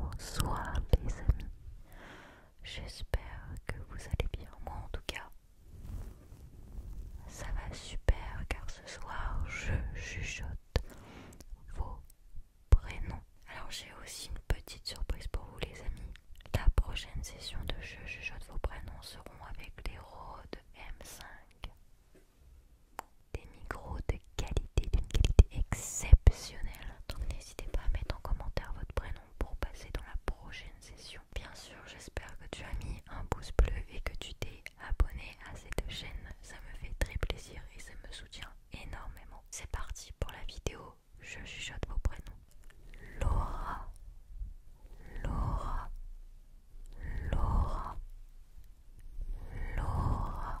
Bonsoir les amis, j'espère que vous allez bien, moi en tout cas ça va super car ce soir je chuchote vos prénoms. Alors j'ai aussi une petite surprise pour vous les amis, la prochaine session de je chuchote vos prénoms seront avec les Rhodes M5. Des micros de qualité, d'une qualité exceptionnelle. Donc n'hésitez pas à mettre en commentaire votre prénom pour passer dans la prochaine session. Bien sûr, j'espère que tu as mis un pouce bleu et que tu t'es abonné à cette chaîne. Ça me fait très plaisir et ça me soutient énormément. C'est parti pour la vidéo. Je chuchote vos prénoms. Laura, Laura, Laura, Laura.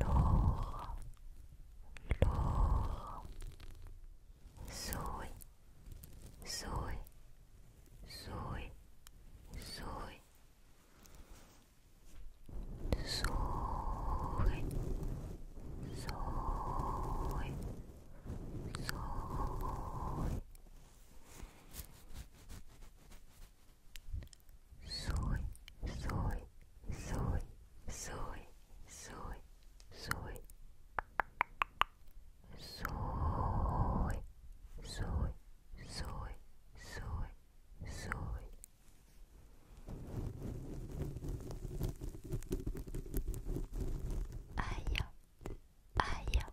Laura, Laura, Zoe, Zoe, Zoe, Zoe, Zoe, Zoe, Zoe soy, soy, soy, soy, soy, soy, soy, soy, soy, soy, soy. I am, I am,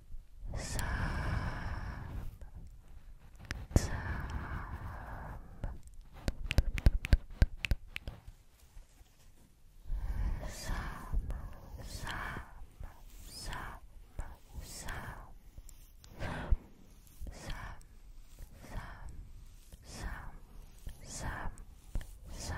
Some, some. Some, some, some, some, some, some, some, some, some,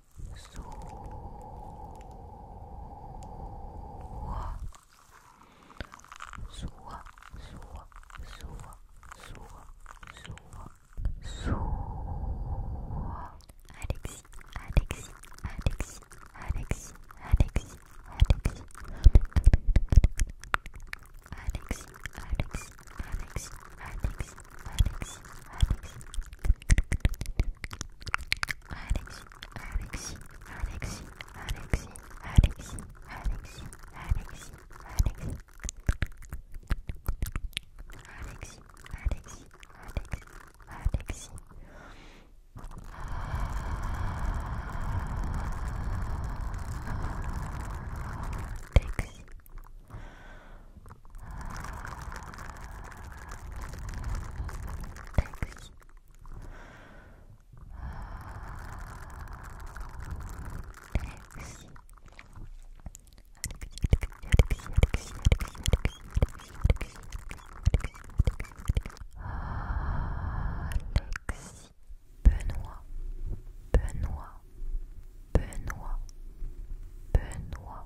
So so so so so so so Alexis Alexis Alexis Alexis Alexis Alexis Alexis Alexis Alexis Alexis Alexis Alexis Alexis Alexis, Alexis, Alexis, Alexis, Alexis, Alexis, Alexis, Alexis. Alexis, Alexis, Alexis, Alexis. Alexis. Alexis. Taxi. Benoît, Benoît, Benoît, Benoît,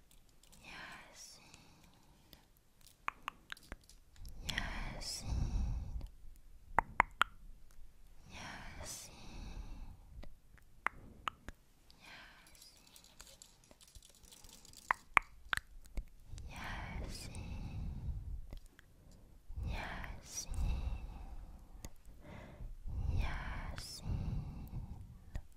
Yasin Yasin Yasin Yasin Yasin Yasin Yasin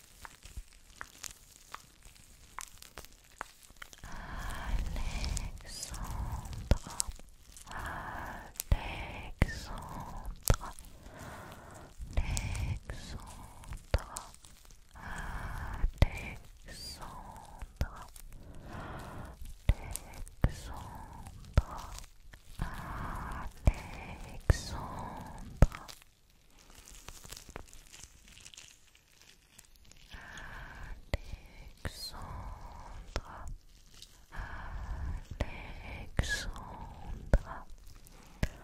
Alexandra Alexandra Alexandra Alexandra Alexandra Alexandra Alexandra, Alexandra, Alexandra, Alexandra, Alexandra.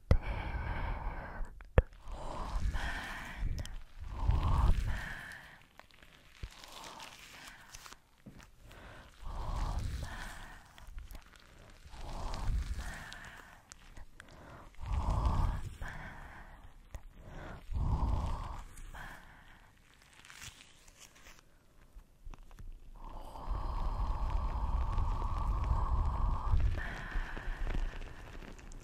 Roman, Roman, Roman, Roman, Roman, Roman. Roman,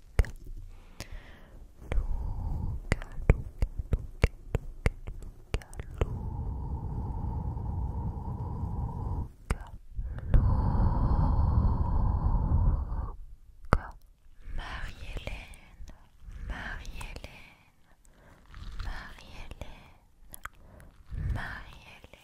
Luca, Luca, Luca, Luca, Luca, Luca, Marie-Hélène, Marie-Hélène, Marie-Hélène, Marie-Hélène.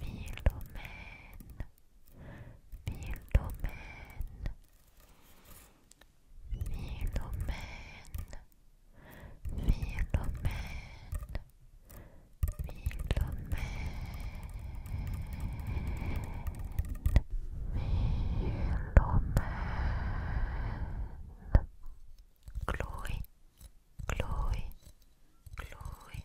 Philomène, Philomène, Philomène, Philomène, Philomène, Philomène, Chloé, Chloé, Chloé,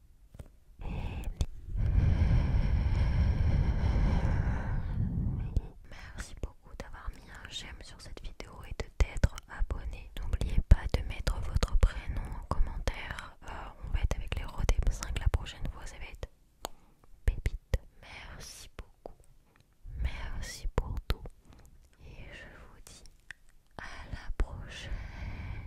Merci beaucoup d'avoir mis un j'aime sur cette vidéo et de t'être abonné. N'oubliez pas de mettre votre prénom en commentaire. Euh, on va être avec les rodés 5 la prochaine fois, ça va être pépite. Merci beaucoup. Merci pour tout. Et je vous dis à la prochaine.